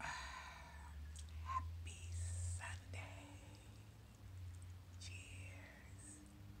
Happy Sunday. Cheers.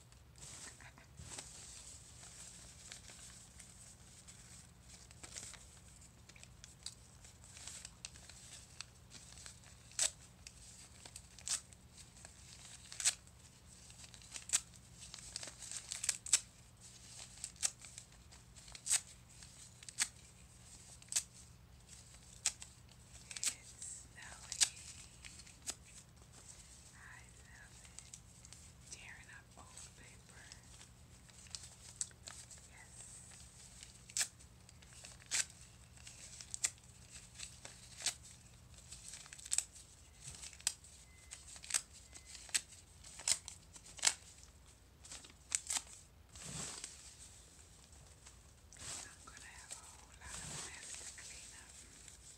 It's snowy. I love it. Tearing up old paper. Yes. I'm going to have a lot of mess to clean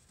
up.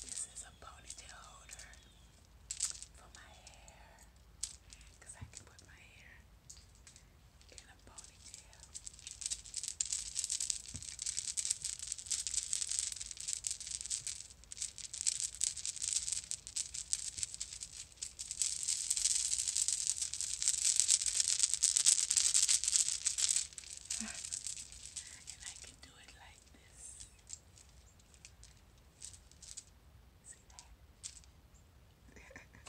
This is a ponytail holder for my hair because I can put my hair in a ponytail. This and I can do it like this. See that?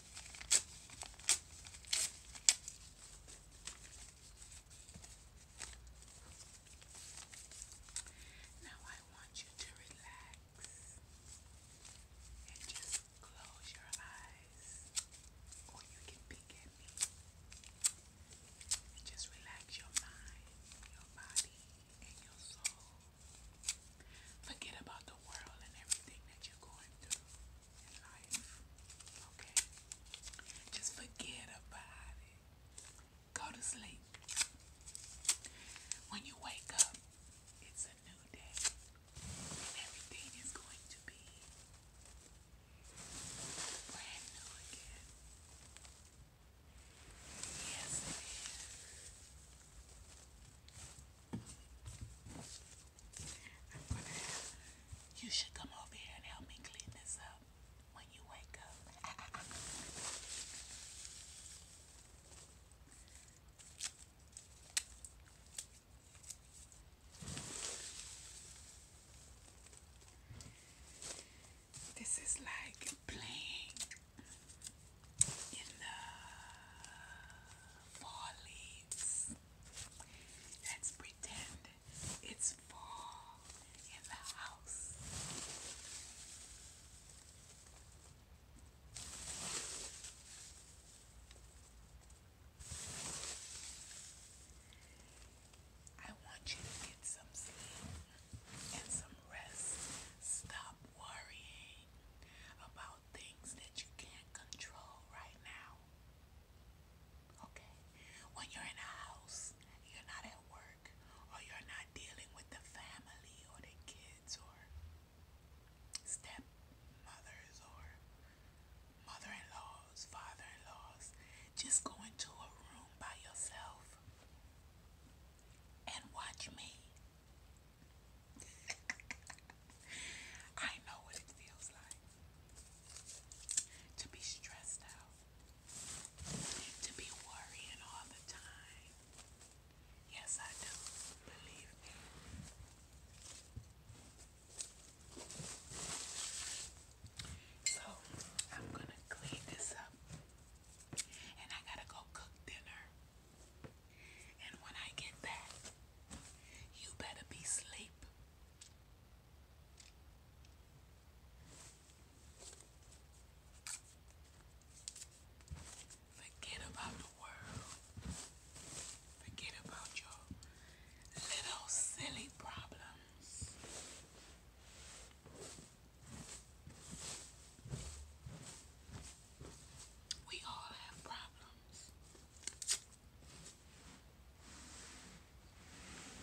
Now I want you to relax and just close your eyes, or you can peek at me. just relax your mind, your body, and your soul. Forget about the world and everything that you're going through in Okay? Just forget about it. Go to sleep. When you wake up, it's a new day. everything is going to be brand new again. Yes, it is you should come over here and help me clean this up when you wake up. This is like playing in the fall leaves. Let's pretend it's fall in the house. I want you to get some sleep and some rest. Stop worrying about things that you can't control right now. Okay? When you're in a house, you're not at work, or you're not dealing with the family or the kids or stepmothers or mother in laws, father in laws, just go into a room by yourself and watch me. I know what it feels like to be stressed out, to be worrying all the time. Yes, I do. Believe me. So, I'm gonna clean this up and I gotta go cook dinner. And when I get back, you better be asleep. Forget about the world. Forget about your little silly problems. We all have problems.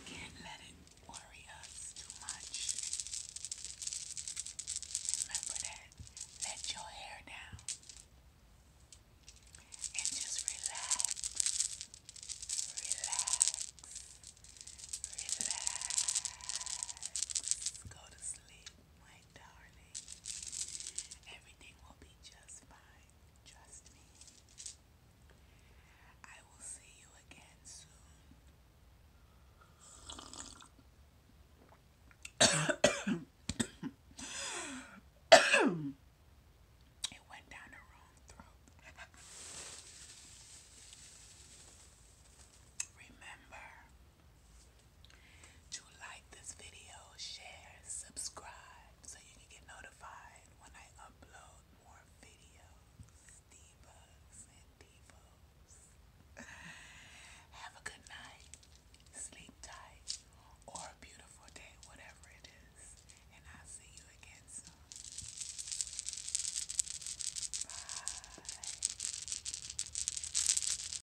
Can't let it worry us too much. Remember that. Let your hair down and just relax. Relax. Relax. Go to sleep my darling. Everything will be just fine. Trust me. I will see you again soon. it went down the wrong throat. Remember, to like this video, share, subscribe so you can get notified when I upload more videos. Divas and divos. Have a good night, sleep tight, or a beautiful day, whatever it is. And I'll see you again soon. Bye.